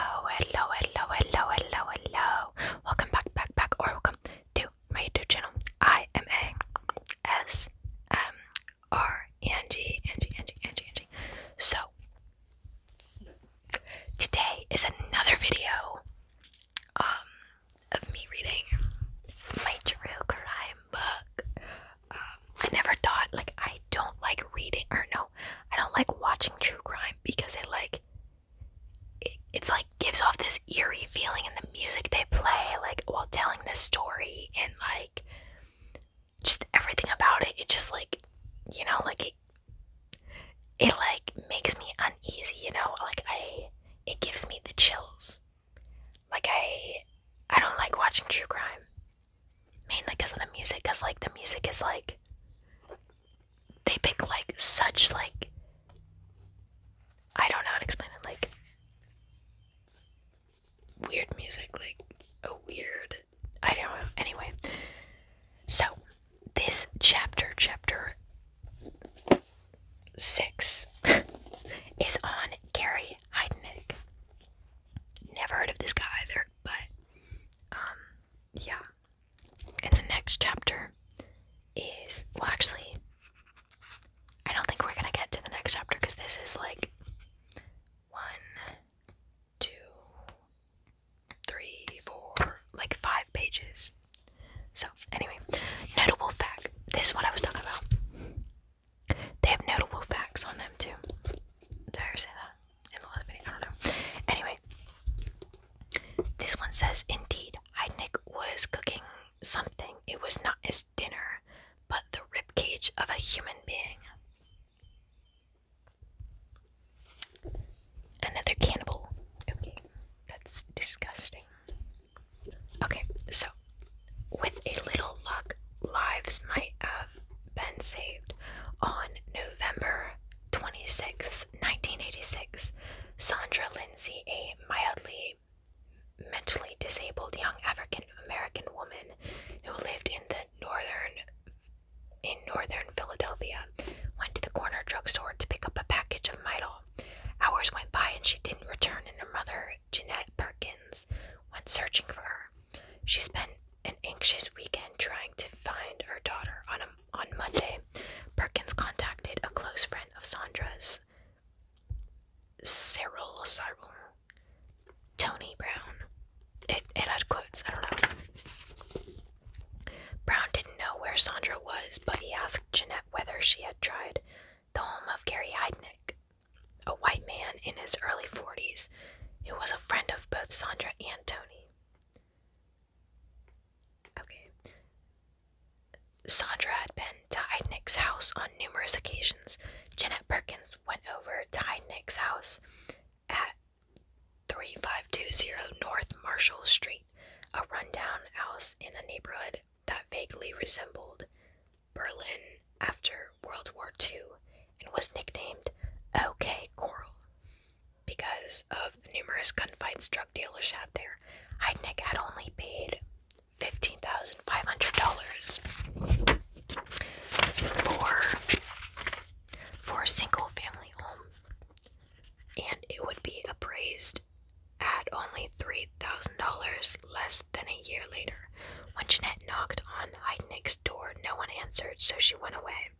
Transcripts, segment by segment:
Hello, oh, hello, hello, hello, hello, hello. Welcome back, back, back, or welcome to my YouTube channel. I am a S M R Angie, Angie, Angie, Angie, Angie. So today is another video um of me reading my true crime book. Um, I never thought like I don't like reading or no, I don't like watching true crime because it like it, it's like gives off this eerie feeling and the music they play like while telling the story and like just everything about it it just like you know like it it like makes me uneasy you know like i it gives me the chills like i i don't like watching true crime mainly because of the music because like the music is like they pick like such like I don't know how to explain it like weird music like a weird I don't know anyway so this chapter chapter 6 is on Gary Heidnick never heard of this guy either but um yeah and the next chapter is well actually I don't think we're gonna get to the next chapter because this is like one, two, three, four, like five pages. So anyway, notable fact. This is what I was talking about. They have notable facts on them too. Did I ever say that? I don't know. Anyway, this one says, Indeed, Heidnik was cooking something. It was not his dinner, but the rib cage of a human being. Another cannibal. Okay, that's disgusting. Okay, so with a little luck, lives might have been saved. On November 26, 1986, Sandra Lindsay, a mildly mentally disabled young African American woman who lived in the northern in northern Philadelphia, went to the corner drugstore to pick up a package of Midol. Hours went by and she didn't return, and her mother, Jeanette Perkins, went searching for her. She spent an anxious weekend trying to find her daughter on on Monday, Perkins contacted a close friend of Sandra's, Cyril Cyril, Tony Brown. It it had quotes. I don't know. Brown didn't know where Sandra was, but he asked Jeanette whether she had tried the home of Gary Heidnick, a white man in his early forties, who was a friend of both Sandra and Tony. Okay. Sandra had been to Heidnick's house on numerous occasions. Janet Perkins went over to Heidnick's house at 3520 North Marshall Street, a rundown house in a neighborhood that vaguely resembled Berlin after World War II and was nicknamed OK Coral because of the numerous gunfights drug dealers had there. Heidnik had only paid $15,500 for, for a single family home, and it would be appraised at only $3,000 less than a year later. When Jeanette knocked on Heidnik's door, no one answered, so she went away.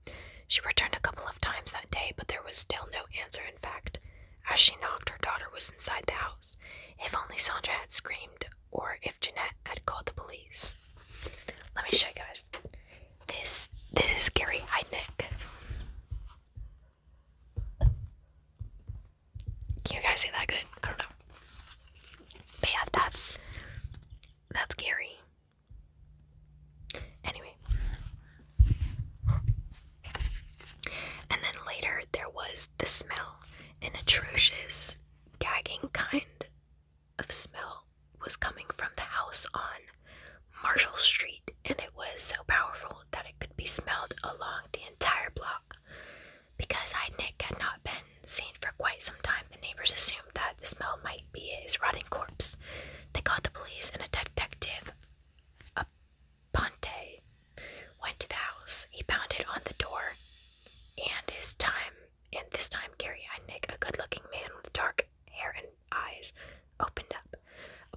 She returned a couple of times that day, but there was still no answer, in fact. As she knocked, her daughter was inside the house. If only Sandra had screamed, or if Jeanette had called the police. Let me show you guys. This this is scary. Gary Nick. Can you guys see that good? I don't know. But yeah, that's that's Gary. Anyway. And then later there was the smell. An atrocious, gagging kind of smell was coming from the house on Marshall Street, and it was so powerful that it could be smelled along the entire block. Because Nick had not been seen for quite some time, the neighbors assumed that the smell might be his rotting corpse. They called the police, and a detective, a Ponte, went to the house. He pounded on the door, and his time, and this time Gary Heidnick, a good-looking man with dark hair and eyes, opened up.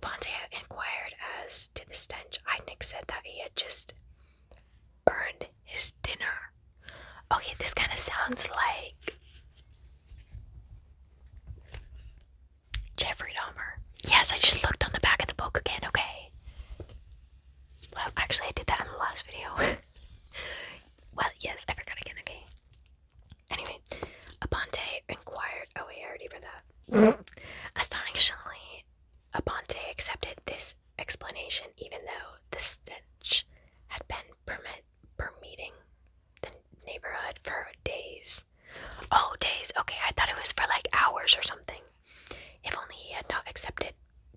Ponte inquired as to the stench. Heidnick said that he had just burned his dinner Okay, this kind of sounds like Jeffrey Dahmer. Yes, I just looked on the back of the book again, okay. Well, actually, I did that in the last video. well, yes, I forgot again, okay. Anyway, Aponte inquired. Oh, wait, I already read that. Astonishingly, Aponte accepted this explanation, even though the stench had been permit permitting the neighborhood for days. Oh, days. Okay, I thought it was for like hours or something. If only he had not accepted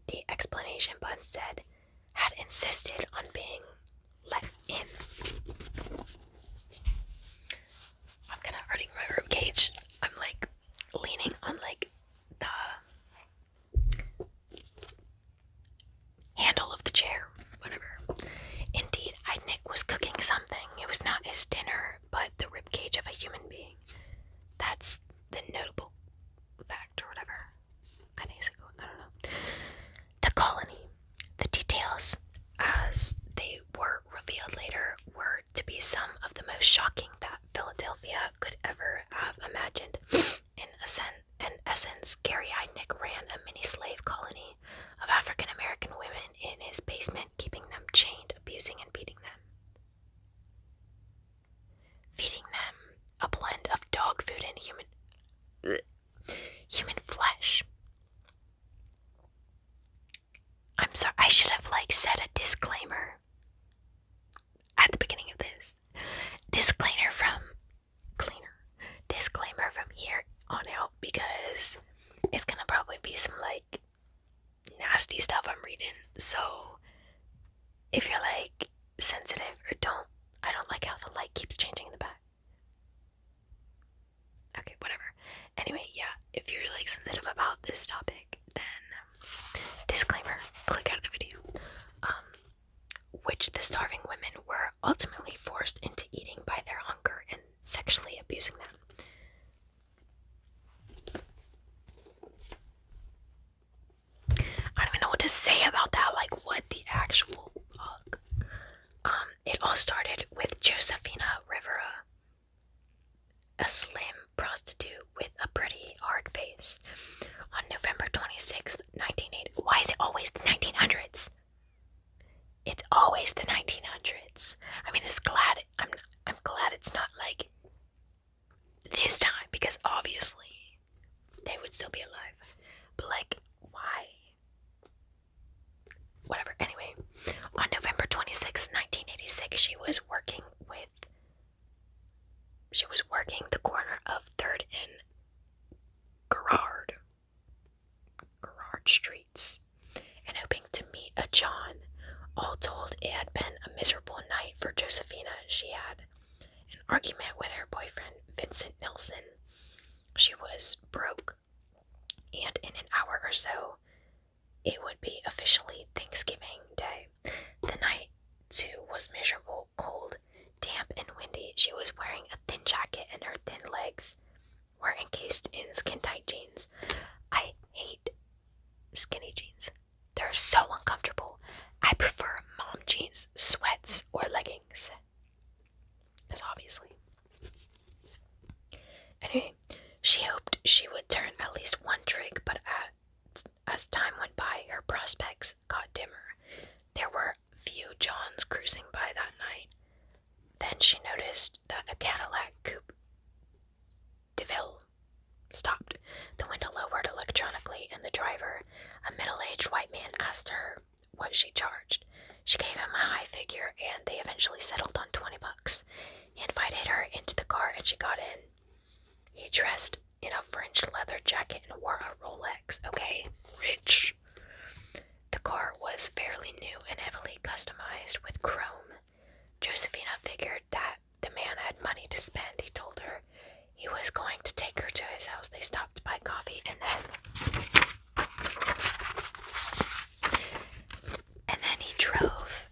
the explanation, but instead had insisted on being let in. I'm kind of hurting my rib cage. I'm like leaning on like the handle of the chair, whatever. Indeed, Heidnik was cooking something. It was not his dinner, but the ribcage of a human being. That's the notable fact, or whatever. I think it's a I don't know. The colony. The details, as they were revealed later, were to be some of the most shocking that Philadelphia could ever have imagined. In a sense, in essence, Gary Heidnick ran a mini slave colony of African American women in his basement, keeping them chained, abusing, and beating them. Feeding them a blend of dog food and human human flesh. I'm sorry, I should have like said a disclaimer at the beginning of this. Disclaimer from cleaner disclaimer from here on out because it's gonna probably be some like nasty stuff I'm reading. So if you're like sensitive or don't, I don't like how the light keeps changing in the back. Okay, whatever. Anyway, yeah, if you're like sensitive about this topic, then um, disclaimer, click out of the video. Um, which the starving women were ultimately forced into eating by their hunger and sexually abusing them. I don't even know what to say about that, like what the actual fuck. Um, it all started with Josefina Rivera, a slim prostitute with a pretty hard face. On November twenty-sixth the Why is it always the 1900s? It's always the 1900s. I mean, it's glad I'm I'm glad it's not like this time because obviously they would still be alive. But like, why? Whatever. Anyway, on November 26, 1986, she was working with she was working the corner of 3rd and Garrard, Garrard Streets, and hoping to meet a John. All told, it had been a miserable night for Josephina. She had an argument with her boyfriend, Vincent Nelson. She was broke, and in an hour or so, it would be officially Thanksgiving Day. The night, too, was miserable, cold, Damp and windy, she was wearing a thin jacket, and her thin legs were encased in skin tight jeans. I hate skinny jeans, they're so uncomfortable. I prefer mom jeans, sweats, or leggings. Because obviously. Anyway, she hoped she would turn at least one trick, but as time went by, her prospects got dimmer. There were few Johns cruising by that night. Then she noticed that a Cadillac coupe DeVille stopped. The window lowered electronically, and the driver, a middle aged white man, asked her what she charged. She gave him a high figure, and they eventually settled on 20 bucks. He invited her into the car, and she got in. He dressed in a French leather jacket and wore a Rolex. Okay, rich. The car was fairly new and heavily customized with chrome. Josefina figured that the man had money to spend. He told her he was going to take her to his house. They stopped by coffee and then and then he drove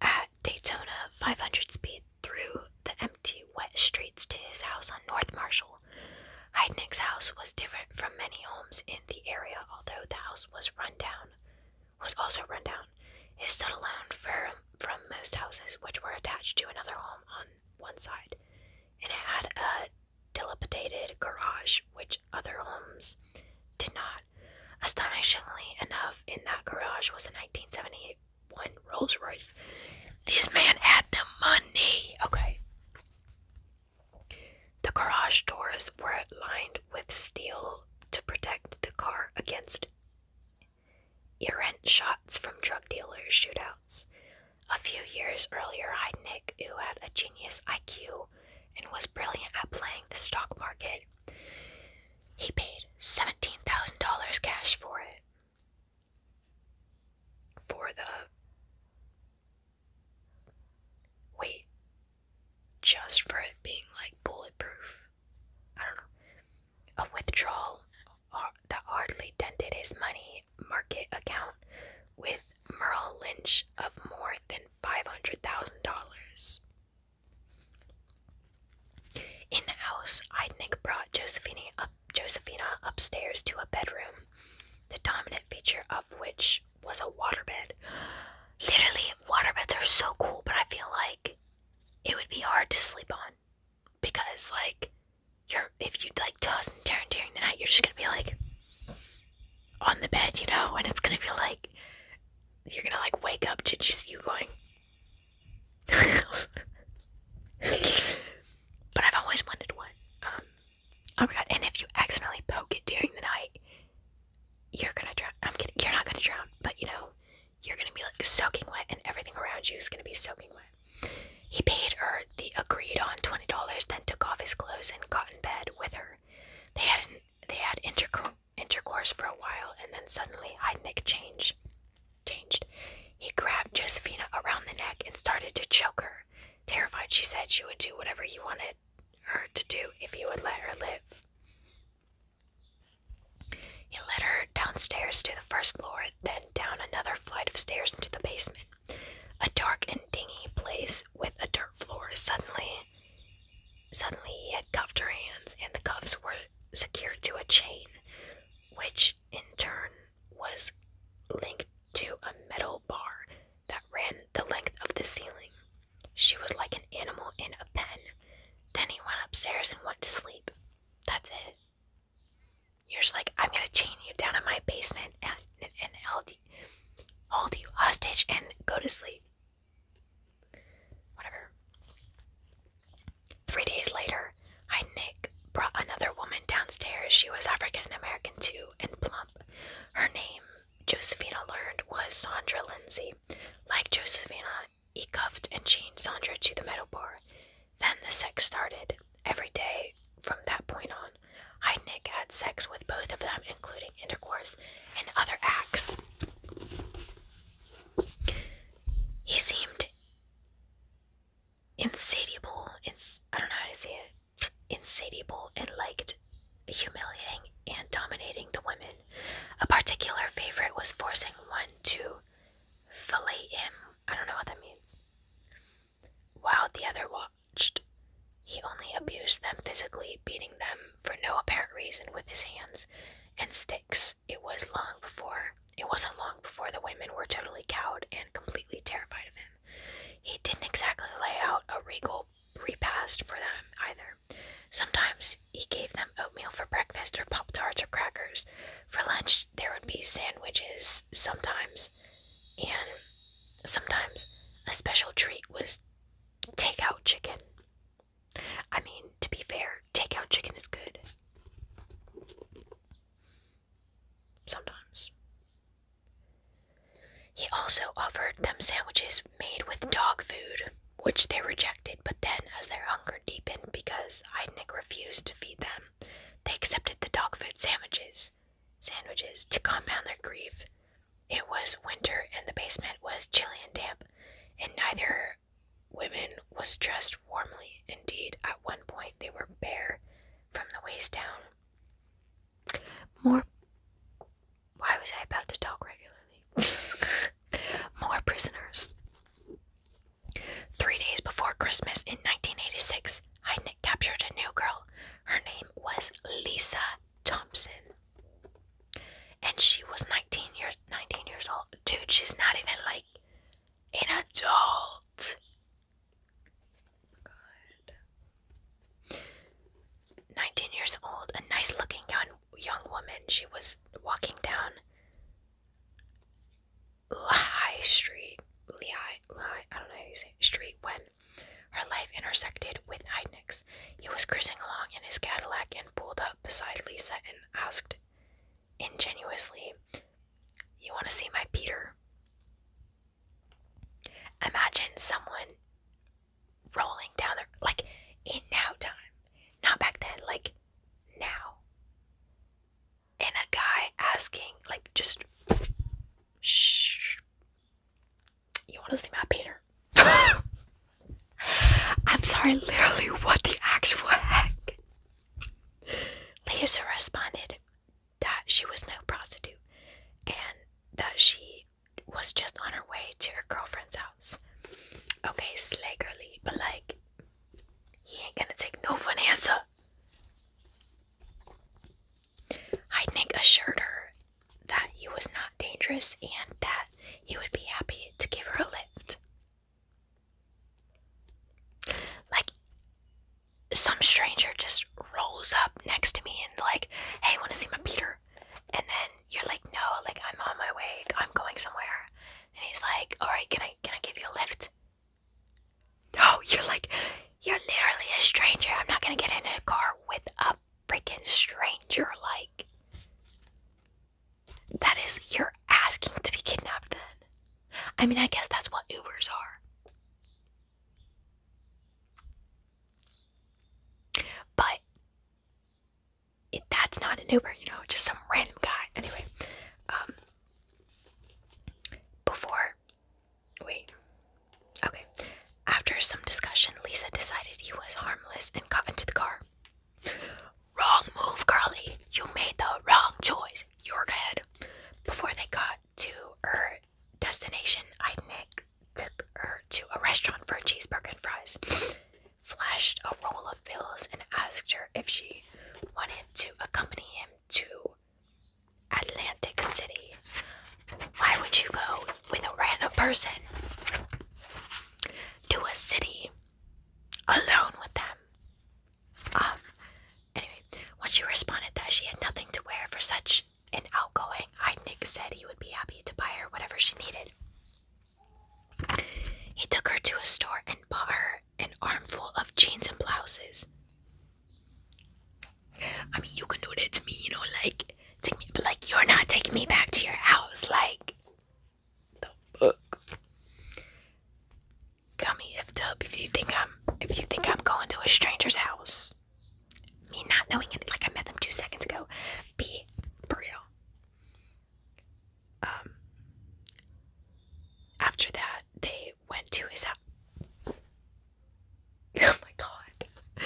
at Daytona 500 speed through the empty, wet streets to his house on North Marshall. Heidnick's house was different from many homes in the area, although the house was run down, was also run down. It stood alone far from most houses, which were attached to another home on one side, and it had a dilapidated garage, which other homes did not. Astonishingly enough, in that garage was a 1971 Rolls Royce this man had the money. Okay. The garage doors were lined with steel to protect the car against errant shots from drug dealers' shootouts. A few years earlier, I Nick, who had a genius IQ and was brilliant at playing the stock market, he paid $17,000 cash for it for the. Wait. Just for it being like bulletproof. I don't know. A withdrawal uh, that hardly dented his money market account with Merle Lynch of more than $500,000. In the house, Eidnick brought Josephine up Josephina upstairs to a bedroom, the dominant feature of which was a waterbed. Literally, waterbeds are so cool, but I feel like it would be hard to sleep on because, like, you're if you like toss and turn during the night, you're just gonna be like on the bed, you know, and it's gonna be like you're gonna like wake up to just you going. But I've always wondered what. Um, oh my god! And if you accidentally poke it during the night, you're gonna drown. I'm kidding. You're not gonna drown, but you know, you're gonna be like soaking wet, and everything around you is gonna be soaking wet. He paid her the agreed on twenty dollars, then took off his clothes and got in bed with her. They had an, they had intercourse intercourse for a while, and then suddenly Heidnik changed changed. He grabbed Josephina around the neck and started to choke her. Terrified, she said she would do whatever he wanted her to do if he would let her live. He led her downstairs to the first floor, then down another flight of stairs into the basement. A dark and dingy place with a dirt floor. Suddenly, suddenly he had cuffed her hands, and the cuffs were secured to a chain, which in turn was linked to a metal bar that ran the length of the ceiling. She was like an animal in a pen. Then he went upstairs and went to sleep. That's it. You're just like, I'm gonna chain you down in my basement and, and, and hold, you, hold you hostage and go to sleep. Whatever. Three days later, later, Heidnik brought another woman downstairs. She was African American too and plump. Her name, Josephina learned, was Sandra Lindsay. Like Josephina, he cuffed and chained Sandra to the metal bar. Then the sex started. Every day from that point on, Heidnik had sex with both of them, including intercourse and other acts. He seemed insatiable, ins- I don't know how to say it, insatiable and liked humiliating and dominating the women. A particular favorite was forcing one to fillet him. I don't know what that means. While the other watched, he only abused them physically, beating them for no apparent reason with his hands and sticks. It was long before it wasn't long before the women were totally cowed and completely terrified of him. He didn't exactly lay out a regal repast for them either. Sometimes he gave them oatmeal for breakfast or Pop Tarts or crackers. For lunch, there would be sandwiches sometimes, and sometimes a special treat was takeout chicken. I mean, to be fair, takeout chicken is good. Sometimes. He also offered them sandwiches made with dog food, which they rejected, but then, as their hunger deepened because Heidnik refused to feed them, they accepted the dog food sandwiches. Sandwiches to compound their grief. It was winter and the basement was chilly and damp, and neither woman was dressed warmly. Indeed, at one point they were bare from the waist down. More. Why was I about to talk regularly? More prisoners. Three days before Christmas in 1986, Heidnik captured a new girl. Her name was Lisa Thompson. And she was 19 years 19 years old. Dude, she's not even like an adult. 19 years old, a nice looking young, young woman. She was walking down Lehigh Street. Lehigh, I don't know Street when her life intersected with Heidnick's. He was cruising along in his Cadillac and pulled up beside Lisa and asked ingenuously, you want to see my Peter? Imagine someone rolling down there, like in now time, not back then, like now. And a guy asking, like, just shh, you want to see my Peter? I'm sorry, literally, what the actual heck? Later responded, that she was no prostitute and that she was just on her way to her girlfriend's house. Okay, slay but like, he ain't gonna take no for an answer. Heidnik assured her that he was not dangerous and that he would be happy to give her a lift. Like, some stranger just rolls up next to me and, like, hey, want to see my Peter? And then you're like, no, like, I'm on my way, I'm going somewhere. And he's like, alright, can I, can I give you a lift? No, you're like, you're literally a stranger. I'm not gonna get in a car with a freaking stranger. Like, that is, you're asking to be kidnapped then. I mean, I guess that's what Ubers are. But that's not an Uber, you know, just some random guy. Anyway, um, before, wait, okay. After some discussion, Lisa decided he was harmless and got into the car. Wrong move, Carly. You made the wrong choice you're Before they got to her destination, I Nick took her to a restaurant for cheeseburger and fries, flashed a roll of bills, and asked her if she wanted to accompany him to Atlantic City. Why would you go with a random person to a city alone with them? Um, anyway, when she responded that she had nothing to wear for such an outgoing, Heidnik said he would be happy to buy her whatever she needed. He took her to a store and bought her an armful of jeans and blouses. I mean, you can do that to me, you know, like, take me, but like, you're not taking me back to your house, like, got me effed up. If you think I'm, if you think I'm going to a stranger's house, me not knowing it, like I met them two seconds ago, be for real. Um. After that, they went to his house. Oh my god.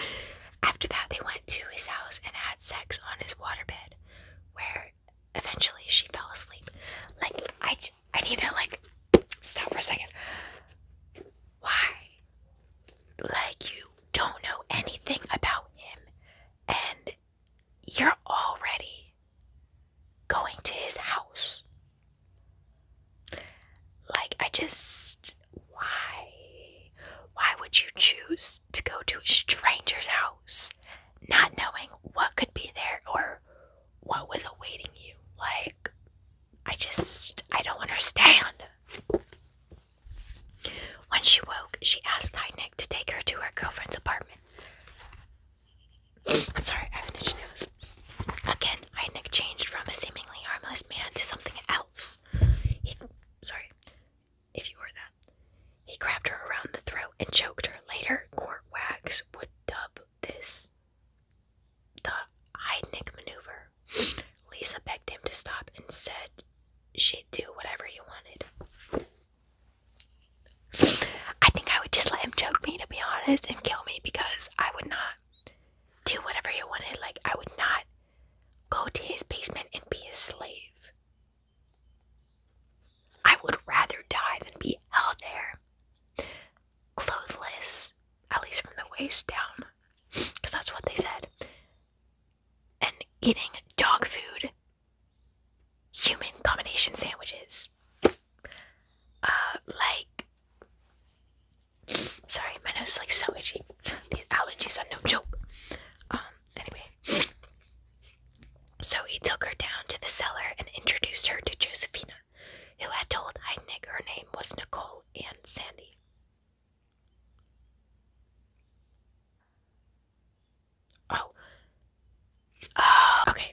After that, they went to his house and had sex on his waterbed, where eventually she fell asleep. Like I, I need to like stop for a second. Why? Like you don't know anything about him and you're already going to his house. Like I just why? Why would you choose to go to a stranger's house not knowing what could be there or what was awaiting you? Like, I just, I don't understand. When she woke, she asked Nick to take her to her girlfriend's apartment. Sorry, I have an nose. Again, Nick changed from a seemingly harmless man to something else. He, sorry, if you were that. He grabbed her around the throat and choked her. Later, court wags would dub this the Heidnik maneuver. Lisa begged him to stop and said she'd do whatever he wanted. I think I would just let him choke me, to be honest, and kill me because I would not do whatever he wanted. Like, I would not go to his basement and be a slave. I would rather die than be out there clothless, at least from the waist down, because that's what they said, and eating dog food, human combination sandwiches. Uh, like, sorry, my nose is like so itchy. These allergies are no joke. Um, anyway. So he took her down to the cellar and introduced her to Josephina who had told Heidnik her name was Nicole and Sandy. Oh. Uh, okay,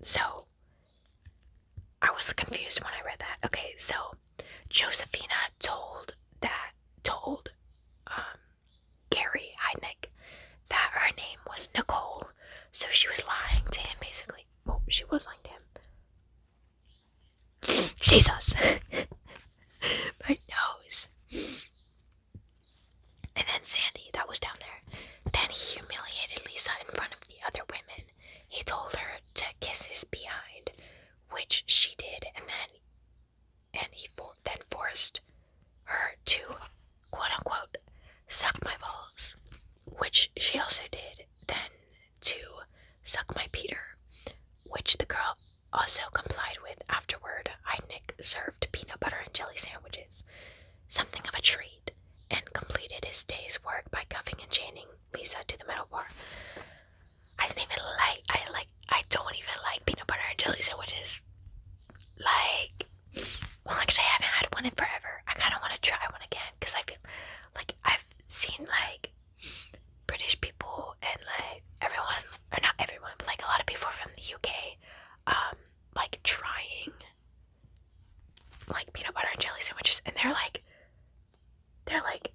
so I was confused when I read that. Okay, so Josephina told that told um Gary Heidnik that her name was Nicole, so she was lying to him basically well, she was like him. Jesus! My nose! And then Sandy, that was down there. Then he humiliated Lisa in front of the other women. He told her to kiss his behind, which she did, and then and he for, then forced her to quote unquote suck my balls, which she also did then to suck my Peter, which the girl also complied with afterward. Heidnik served peanut butter and jelly sandwiches, something of a treat, and completed his day's work by cuffing and chaining Lisa to the metal bar. I didn't even like I like I don't even like peanut butter and jelly sandwiches. Like well, actually, I haven't had one in forever. I kind of want to try one again because I feel like I've seen like British people and like everyone, or not everyone, but like a lot of people from the UK, um, like trying like peanut butter and jelly sandwiches, and they're like, they're like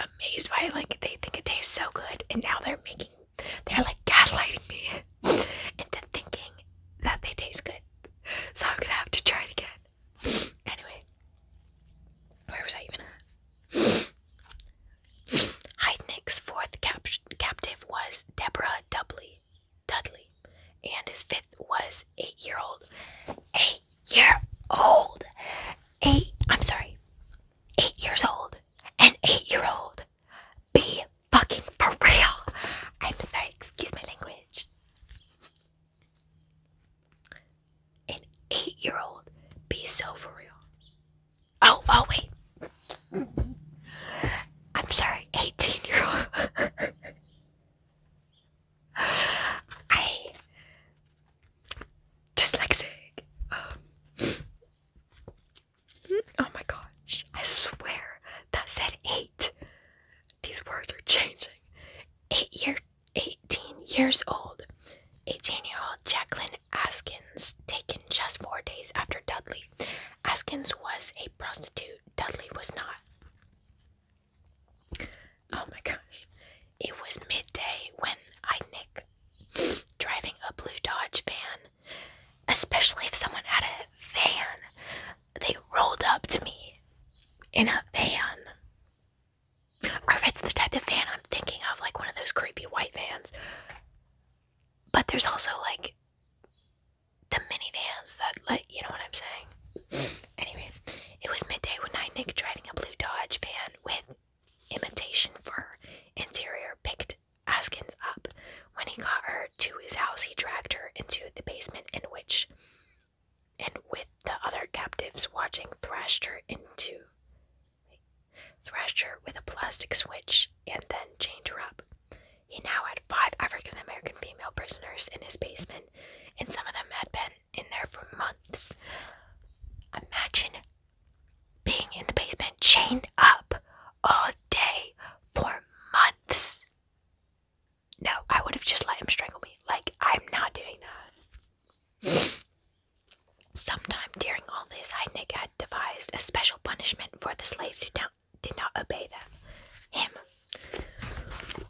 amazed by it. Like they think it tastes so good, and now they're making, they're like gaslighting me into thinking that they taste good. So I'm gonna have to try it again. Anyway, where was I even at? Heidnick's fourth captive was Deborah Dudley, and his fifth was eight-year-old, eight-year-old, eight. I'm sorry, eight years old, an eight-year-old. Be fucking for real. I'm sorry. Excuse my language. An eight year old be so for real. Oh, oh, wait. I'm sorry, 18 year old. I dyslexic. Um, oh my gosh, I swear that said eight these words are changing. Eight year, 18 years old. 18 year old Jacqueline Askins, taken just four days after Dudley. Askins was a prostitute, Dudley was not. Oh my gosh. It was midday when I nick driving a blue Dodge van, especially if someone had a van they rolled up to me in a van. Or if it's the type of van I'm thinking of, like one of those creepy white vans. But there's also like the minivans that, like, you know what I'm saying? Anyway, it was midday when I nicked driving a blue Dodge van with imitation fur interior picked Askins up. When he got her to his house, he dragged her into the basement in which and with the other captives watching thrashed her into thrashed her with a plastic switch and then chained her up. He now had five African American female prisoners in his basement, and some of them had been in there for months. Imagine being in the basement chained up all day for months. No, I would have just let him strangle me. Like, I'm not doing that. Sometime during all this, Heidnik had devised a special punishment for the slaves who did not obey them, him,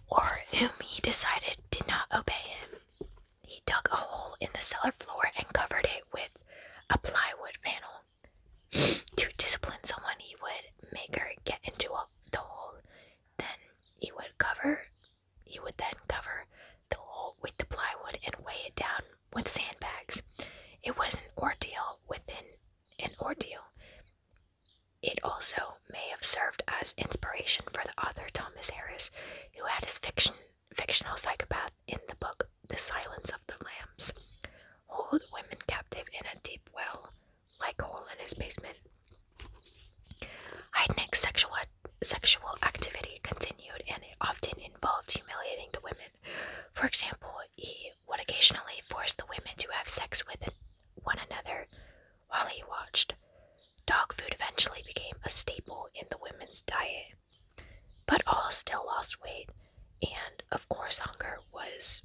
or whom he decided did not obey him. He dug a hole in the cellar floor and covered it with a plywood panel. to discipline someone, he would make her get into a the hole then he would cover he would then cover the hole with the plywood and weigh it down with sandbags it was an ordeal within an ordeal it also may have served as inspiration for the author thomas harris who had his fiction fictional psychopath in the book the silence of the lambs hold women captive in a deep well like hole in his basement. Heidnick's sexual sexual activity continued, and often involved humiliating the women. For example, he would occasionally force the women to have sex with one another while he watched. Dog food eventually became a staple in the women's diet, but all still lost weight, and of course, hunger was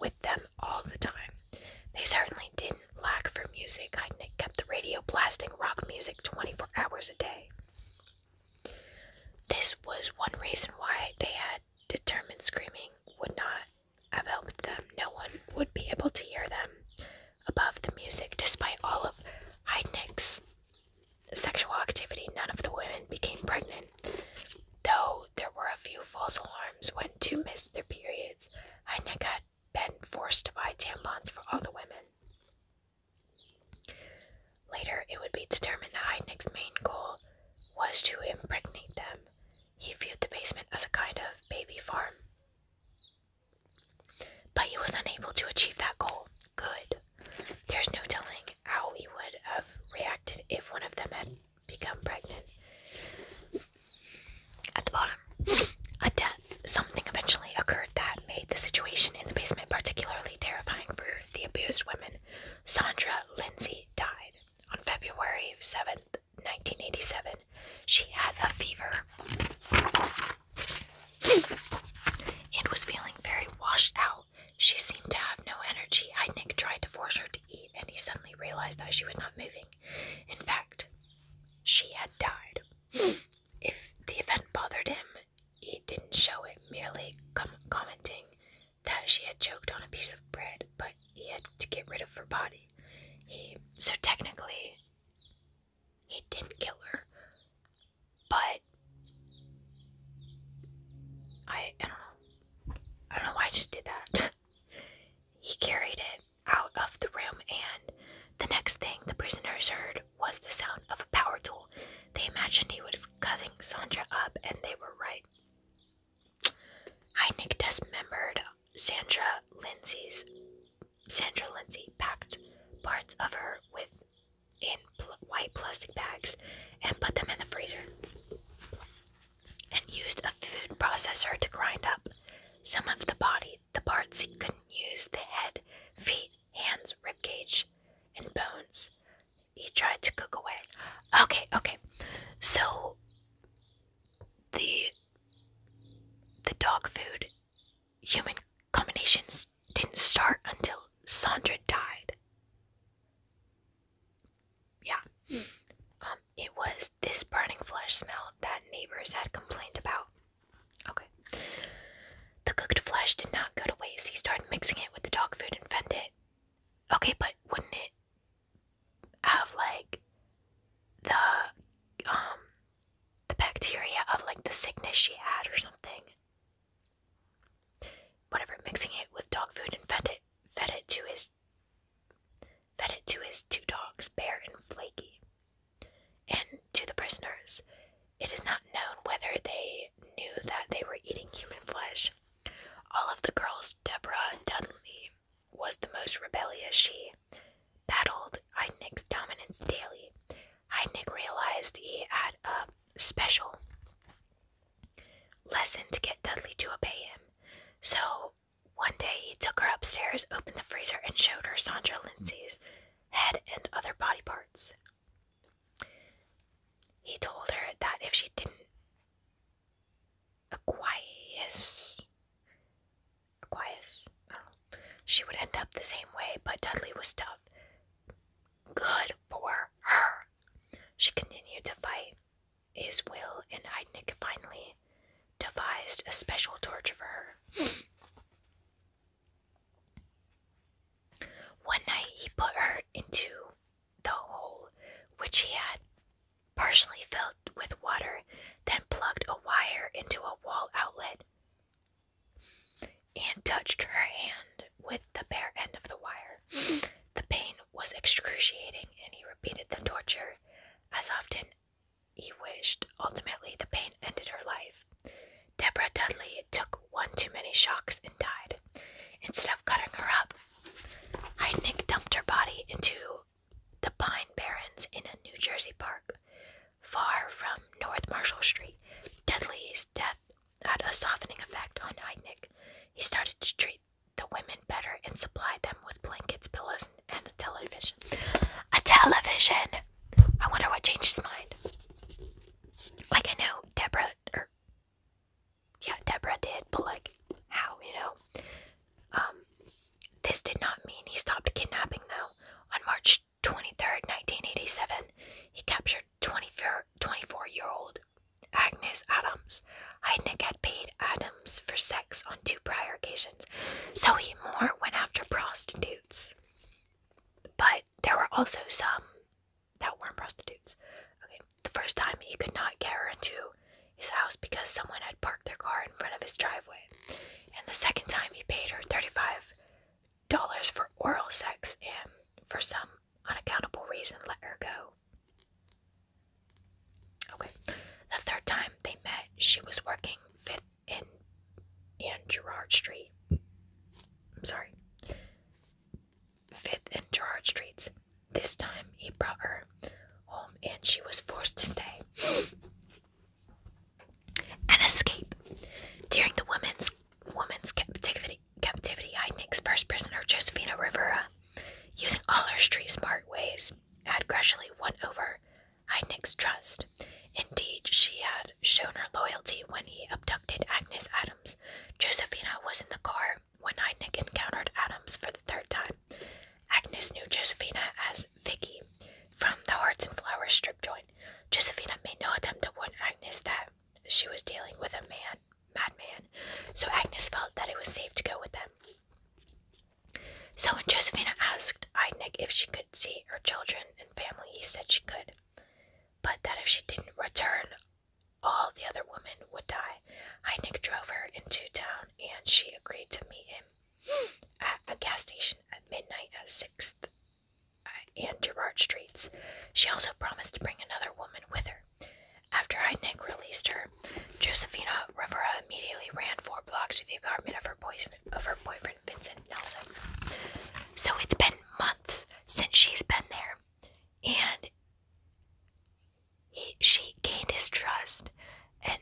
with them all the time. They certainly didn't lack for music. I kept the radio blasting rock music 24 hours a day. This was one reason why they had determined screaming would not have helped them. No one would be able to hear them above the music. Despite all of Heidnick's sexual activity, none of the women became pregnant. Though there were a few false alarms when two missed their periods, Heineck had been forced to buy tampons for all the women. Later, it would be determined that Heineck's main goal was to impregnate them. He viewed the basement as a kind of baby farm. But he was unable to achieve that goal. Good. There's no telling how he would have reacted if one of them had become pregnant. At the bottom, a death. Something eventually occurred that made the situation in the basement particularly terrifying for the abused women. Sandra Lindsay died on February 7th, 1987. She had a fever and was feeling very washed out. She seemed to have no energy. Heidnik tried to force her to and he suddenly realized that she was not moving. In fact, she had died. if the event bothered him, he didn't show it, merely commenting that she had choked on a piece of bread, but he had to get rid of her body. He so technically he didn't kill her, but I don't know. I don't know why I just did that. he carried it out of the room, and the next thing the prisoners heard was the sound of a power tool. They imagined he was cutting Sandra up, and they were right. Heinick dismembered Sandra Lindsay's Sandra Lindsay packed parts of her with in white plastic bags and put them in the freezer and used a food processor to grind up some of the body, the parts he couldn't use the head, feet, hands, ribcage, and bones. He tried to cook away. Okay, okay. So the the dog food human combinations didn't start until Sandra died yeah. Um, it was this burning flesh smell that neighbors had complained about. Okay. The cooked flesh did not go to waste. He started mixing it with the dog food and fed it. Okay, but wouldn't it have like the um the bacteria of like the sickness she had or something? Whatever, mixing it with dog food and fed it fed it to his fed it to his two dogs, Bear and Flaky. And to the prisoners, it is not known whether they knew that they were eating human flesh. All of the girls, Deborah and Dudley was the most rebellious. She battled Heidnik's dominance daily. Heidnik realized he had a special lesson to get Dudley to obey him. So one day he took her upstairs, opened the freezer, and showed her Sandra Lindsay's head and other body parts. He told her that if she didn't acquiesce, acquiesce, she would end up the same way, but Dudley was tough. Good for her. She continued to fight. Is will, and Heidnik finally devised a special torture for her. One night he put her into the hole, which he had partially filled with water, then plugged a wire into a wall outlet and touched her hand with the bare end of the wire. The pain was excruciating and he repeated the torture as often he wished. Ultimately, the pain ended her life. Deborah Dudley took one too many shocks and died. Instead of cutting her up, Heidnik dumped her body into the Pine Barrens in a New Jersey park. Far from North Marshall Street, Dudley's death had a softening effect on Heidnik. He started to treat the women better and supply them with blankets, pillows, and a television. A television! I wonder what changed his mind. Like, I know Deborah, or er, yeah, Deborah did, but like, how, you know? Um, this did not mean he stopped kidnapping, though. On March 23rd, 1987, he captured 24 year old Agnes Adams. Heidnik had paid Adams for sex on two prior occasions, so he more went after prostitutes. But there were also some that weren't prostitutes. Okay, the first time he could not get her into his house because someone had parked their car in front of his driveway, and the second time he paid her thirty-five dollars for oral sex and, for some unaccountable reason, let her go. Okay. The third time they met, she was working Fifth in in Gerard Street. I'm sorry. Fifth in Gerard Streets. This time he brought her home and she was forced to stay and escape. During the woman's woman's captivity captivity, Heidnick's first prisoner, Josephina Rivera, Using all her street smart ways, I had gradually won over Heidnick's trust. Indeed, she had shown her loyalty when he abducted Agnes Adams. Josephina was in the car when Heidnick encountered Adams for the third time. Agnes knew Josephina as Vicky from the Hearts and Flowers strip joint. Josephina made no attempt to warn Agnes that she was dealing with a man madman, so Agnes felt that it was safe to go with them. So when Josephina asked Eidnik if she could see her children and family, he said she could, but that if she didn't return, all the other women would die. Heidnik drove her into town and she agreed to meet him at a gas station at midnight at 6th and Gerard Streets. She also promised to bring another woman with her. After I Nick released her, Josephina Rivera immediately ran four blocks to the apartment of her, of her boyfriend Vincent Nelson. So it's been months since she's been there, and he, she gained his trust, and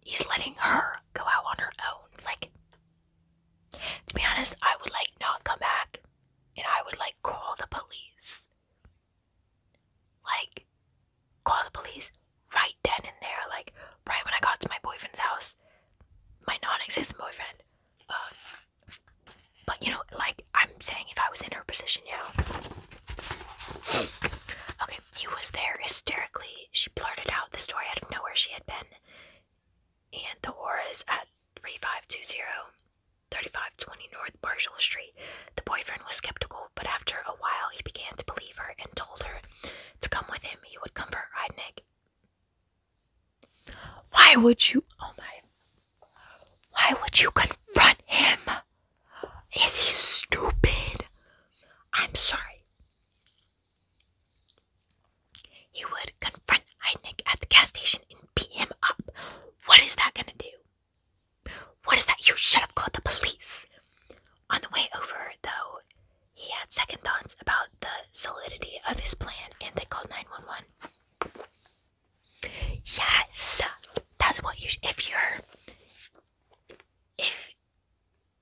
he's letting her go out on her own. Like, to be honest, I would like not come back, and I would like call the police. Like, call the police right then and there. Like, right when I got to my boyfriend's house, my non existent boyfriend. Um, but, you know, like, I'm saying if I was in her position, you Okay, he was there hysterically. She blurted out the story out of nowhere she had been. And the aura is at 3520. 3520 North Marshall Street. The boyfriend was skeptical, but after a while he began to believe her and told her to come with him. He would confront Rydnick. Why would you? Oh my. Why would you confront him? Is he stupid? I'm sorry. He would confront Heidnik at the gas station and beat him up. What is that gonna do? What is that? You should have called the police. On the way over, though, he had second thoughts about the solidity of his plan and they called 911. Yes, that's what you should. If you're. If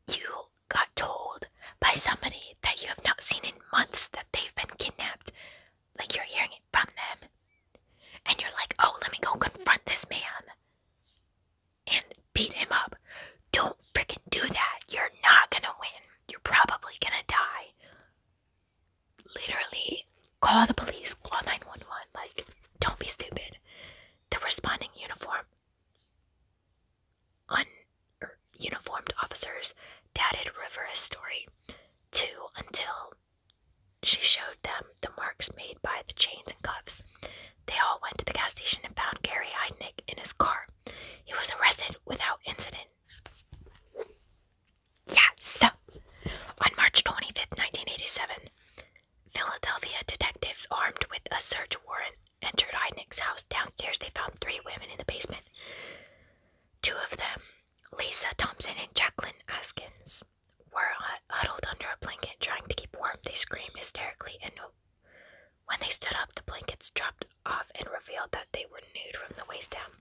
you got told by somebody that you have not seen in months that they've been kidnapped, like you're hearing it from them and you're like oh let me go confront this man and beat him up don't freaking do that you're not gonna win you're probably gonna die literally call the police call 911 like don't be stupid the responding uniform uniformed officers doubted rivera's story too until she showed them the marks made by the chains and cuffs. They all went to the gas station and found Gary Heidnick in his car. He was arrested without incident. Yeah, so on March 25th, 1987, Philadelphia detectives armed with a search warrant entered Heidnick's house. Downstairs, they found three women in the basement. Two of them, Lisa Thompson and Jacqueline Askins, were huddled under a blanket trying to keep warm. They screamed hysterically, and when they stood up, the blankets dropped off and revealed that they were nude from the waist down.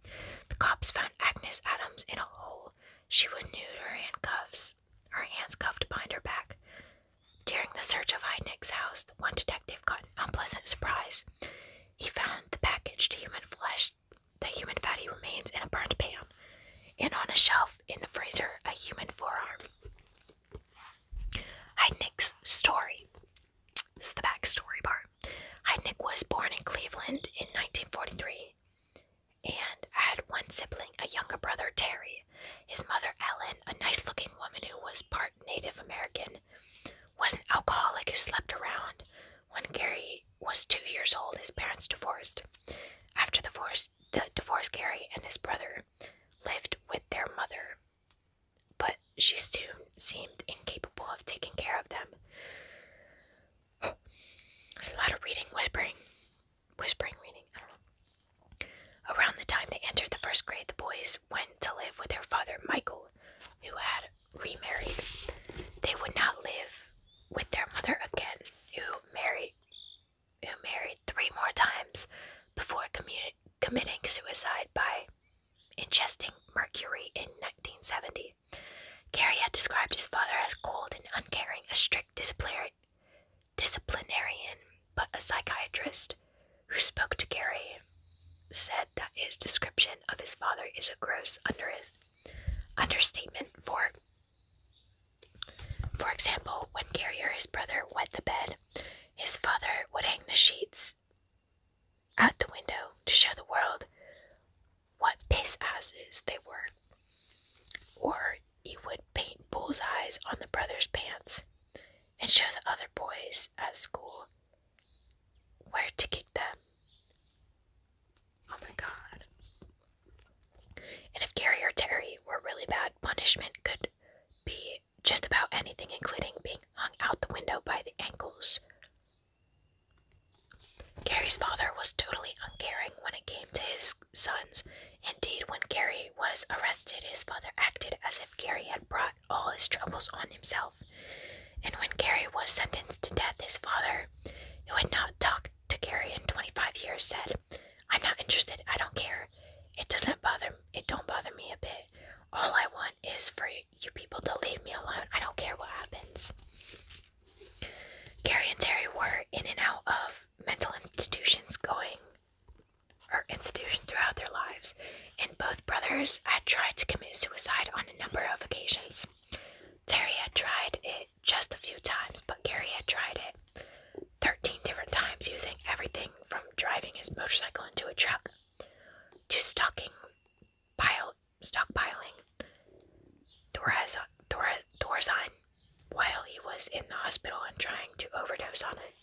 The cops found Agnes Adams in a hole. She was nude, her handcuffs, her hands cuffed behind her back. During the search of Heidnick's house, one detective got an unpleasant surprise. He found the package to human flesh the human fatty remains in a burnt pan, and on a shelf in the freezer, a human forearm. Hi, Heidnick's story. This is the backstory part. Hi, Nick was born in Cleveland in 1943 and had one sibling, a younger brother, Terry. His mother, Ellen, a nice looking woman who was part Native American, was an alcoholic who slept around. When Gary was two years old, his parents divorced. After the divorce, Gary and his brother lived with their mother, but she soon seemed incapable of taking care of them. It's a lot of reading, whispering, whispering, reading. I don't know. Around the time they entered the first grade, the boys went to live with their father, Michael, who had remarried. They would not live with their mother again, who married who married three more times before committing suicide by ingesting mercury in 1970. Gary had described his father as cold and uncaring, a strict disciplinarian, but a psychiatrist who spoke to Gary said that his description of his father is a gross understatement for for example, when Gary or his brother wet the bed, his father would hang the sheets out the window to show the world what piss asses they were. Or he would paint bullseyes on the brother's pants and show the other boys at school where to kick them. Oh my god. And if Gary or Terry were really bad, punishment could be just about anything, including being hung out the window by the ankles. Gary's father was totally uncaring when it came to his sons. Indeed, when Gary was arrested, his father acted as if Gary had brought all his troubles on himself. And when Gary was sentenced to death, his father, who had not talked Targaryen, 25 years, said, I'm not interested. I don't care. It doesn't bother It don't bother me a bit. All I want is for you people to leave me alone. I don't care what happens. Gary and Terry were in and out of mental institutions going or institution throughout their lives, and both brothers had tried to commit suicide on a number of occasions. Terry had tried it just a few times, but Gary had tried it 13 different times using everything from driving his motorcycle into a truck to stocking pile stockpiling Thorazine Thor while he was in the hospital and trying to overdose on it.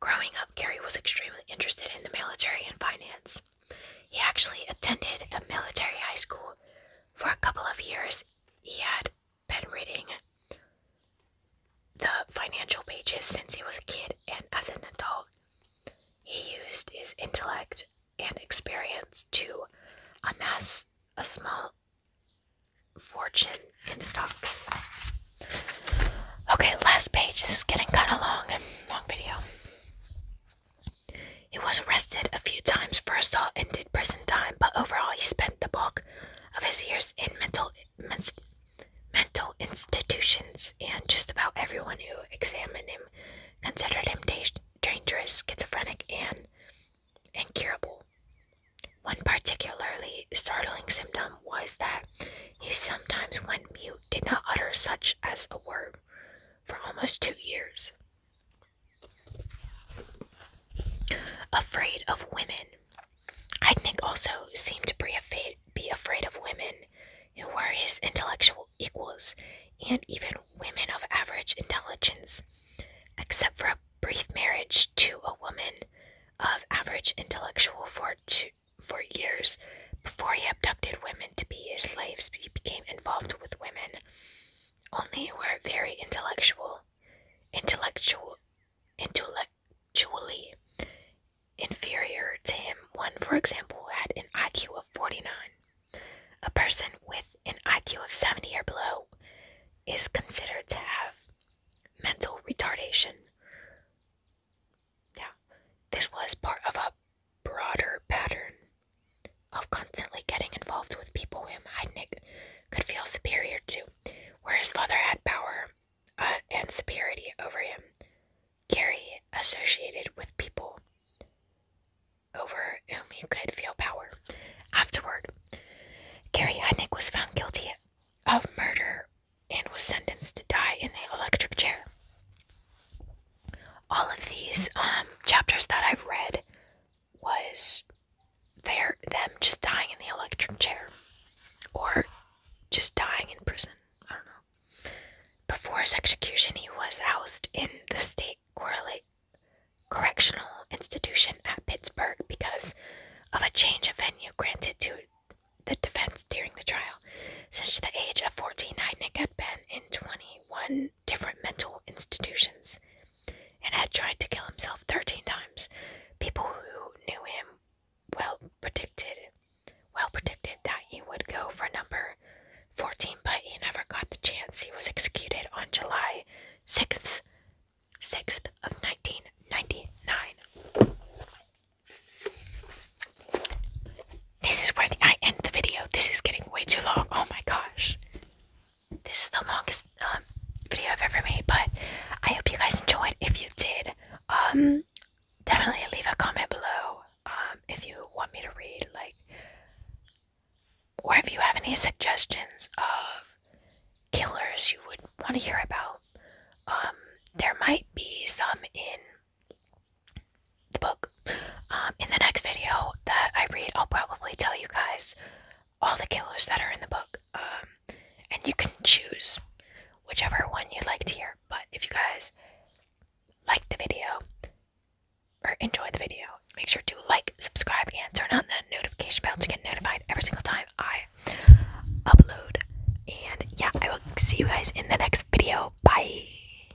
Growing up, Gary was extremely interested in the military and finance. He actually attended a military high school for a couple of years. He had been reading the financial pages since he was a kid, and as an adult, he used his intellect and experience to amass a small fortune in stocks. Okay, last page. This is getting kind of long. Long video. He was arrested a few times for assault and did prison time, but overall he spent the bulk of his years in mental mental institutions, and just about everyone who examined him considered him dangerous, schizophrenic, and incurable. One particularly startling symptom was that he sometimes went mute, did not utter such as a word, for almost two years. Afraid of women. Heidnik also seemed to be afraid of women who were his intellectual equals and even women of average intelligence, except for a brief marriage to a woman of average intellectual for two, for years before he abducted women to be his slaves. He became involved with women only were very intellectual, intellectually, intellectually inferior to him. One, for example, had an IQ of 49. A person with an IQ of 70 or below is considered to have mental retardation. Yeah, this was part of a broader pattern of constantly getting involved with people whom Heidnik could feel superior to, where his father had power uh, and superiority over him. Gary associated with people over whom he could feel power. Afterward, Gary Heidnik was found guilty of murder and was sentenced to die in the electric chair all of these um, chapters that I've read was their them just dying in the electric chair or just dying in prison. I don't know. Before his execution, he was housed in the state correlate correctional institution at Pittsburgh because of a change of venue granted to the defense during the trial. Since the age of 14, Heidnick had been in 21 different mental institutions and had tried to kill himself 13 times. People who knew him well predicted well predicted that he would go for number 14, but he never got the chance. He was executed on July 6th, 6th of 1999. This is where I end the video. This is getting way too long. Oh my gosh. This is the longest um, video I've ever made, but I hope you guys enjoyed. If you did, um, definitely leave a comment below um, if you want me to read, like, or if you have any suggestions of killers you would want to hear about. Um, there might be some in the book. Um, in the next video that I read, I'll probably tell you guys all the killers that are in the book. Um, and you can choose whichever one you would like to hear. But if you guys like the video or enjoy the video, make sure to like, subscribe, and turn on that notification bell to get notified every single time I upload. And yeah, I will see you guys in the next video. Bye.